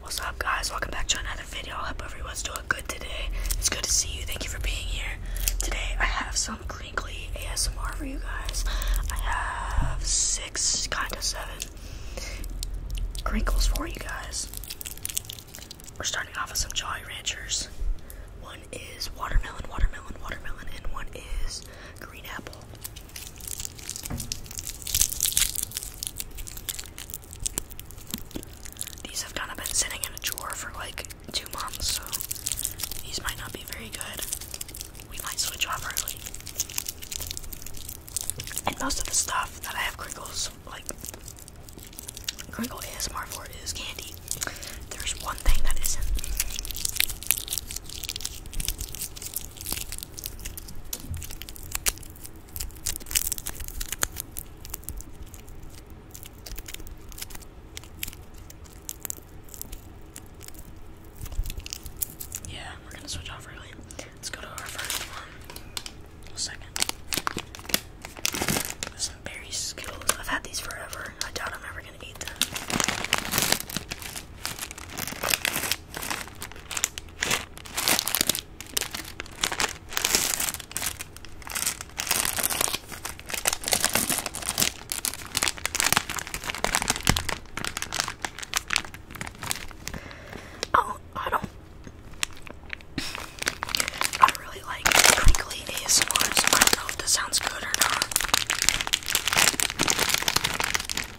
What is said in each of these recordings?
What's up guys, welcome back to another video. I hope everyone's doing good today. It's good to see you, thank you for being here. Today I have some crinkly ASMR for you guys. I have six, kind of seven crinkles for you guys. We're starting off with some Jolly Ranchers. One is watermelon, watermelon, watermelon, and one is green apple. These have kind of been sitting in a drawer for like two months, so these might not be very good. We might switch off early. And most of the stuff that I have crinkles, like crinkle ASMR for is candy. There's one thing that isn't. Yeah, we're gonna switch off early. Let's go to our first one. Second. Some berry skittles. I've had these forever. I doubt I'm ever gonna eat them. Oh, I don't. I really like crinkly ASMR, I don't know if this sounds good or not.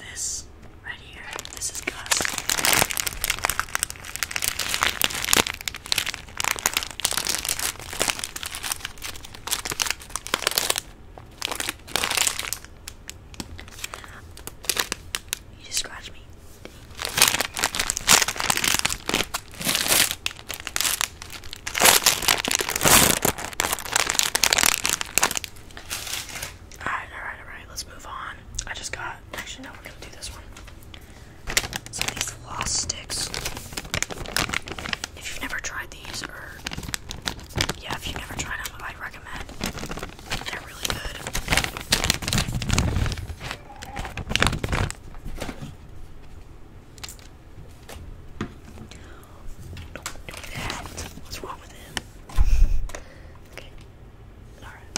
This right here, this is Gus. You just scratched me. Alright, alright, alright, let's move on. I just got actually no we're gonna do this one. So these floss sticks. If you've never tried these or yeah, if you've never tried them, I recommend they're really good. Don't do that. What's wrong with him? okay. Alright.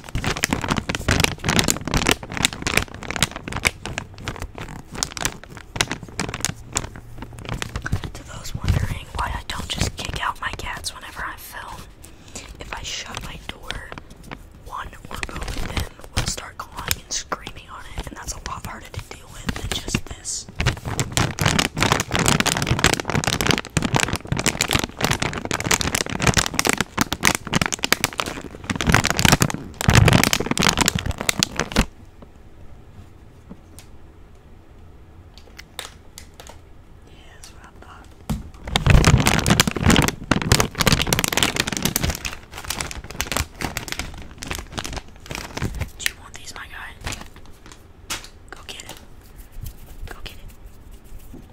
To those wondering why I don't just kick out my cats whenever I film, if I shut my door, one or both of them will start clawing and screaming on it, and that's a lot harder to deal with than just this. Yeah, that's Do you want these, my guy? Go get it. Go get it.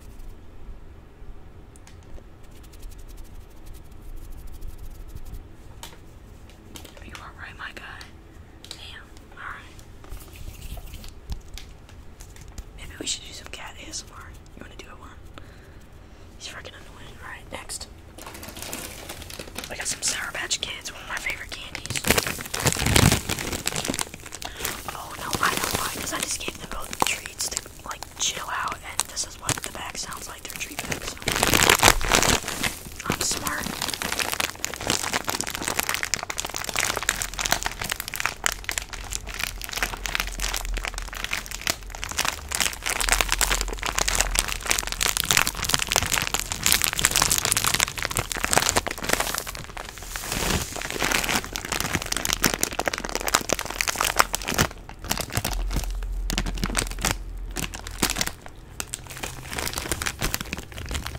You are right, my guy. Damn, alright. Maybe we should do some cat ASMR. You wanna do it one? He's freaking annoying. Alright, next. We got some Sour Patch Kids, one of my favorite candies. Oh no, I don't mind because I just gave them both treats to like chill out, and this is what the bag sounds like, their treat bag I'm smart.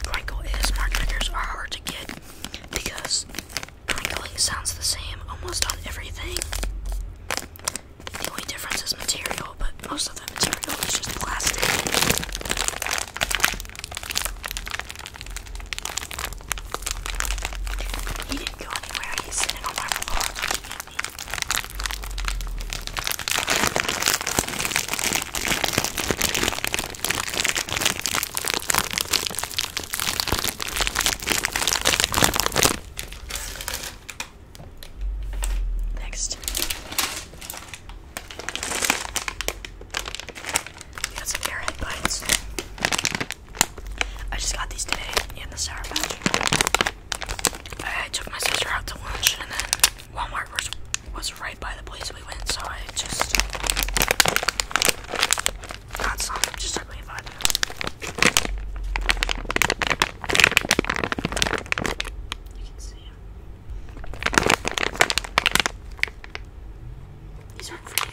Crinkle ASMR triggers are hard to get because crinkling sounds the same almost on everything. The only difference is material, but most of the material is just plastic. He didn't go anywhere, he's sitting on my floor looking at me. Next, we got some airhead bites. I just got these today in the sour patch. I took my sister out to lunch and then Walmart was, was right by the place we went, so I just got some. Just took me five You can see These aren't for you.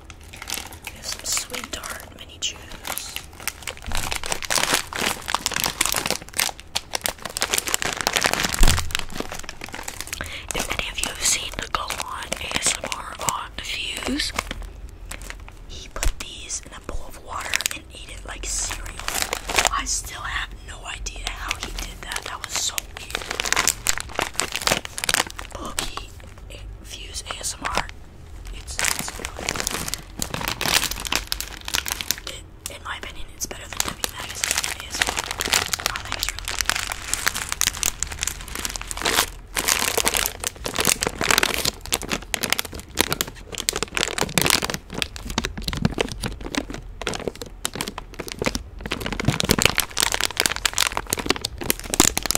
we have some sweet tart mini chews. If any of you have seen the Go On ASMR on Fuse, he put these in a bowl of water and ate it like cereal. I still have no idea how he did that. That was so weird. Boogie Fuse ASMR it's, it's really it, in my opinion, it's better than W Magazine.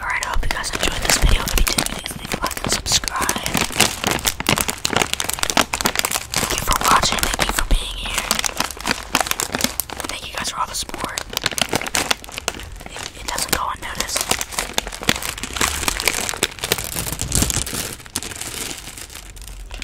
Alright, I hope you guys enjoyed this video. If you did, please leave a like and subscribe. Thank you for watching. Thank you for being here. Thank you guys for all the support. it doesn't go unnoticed.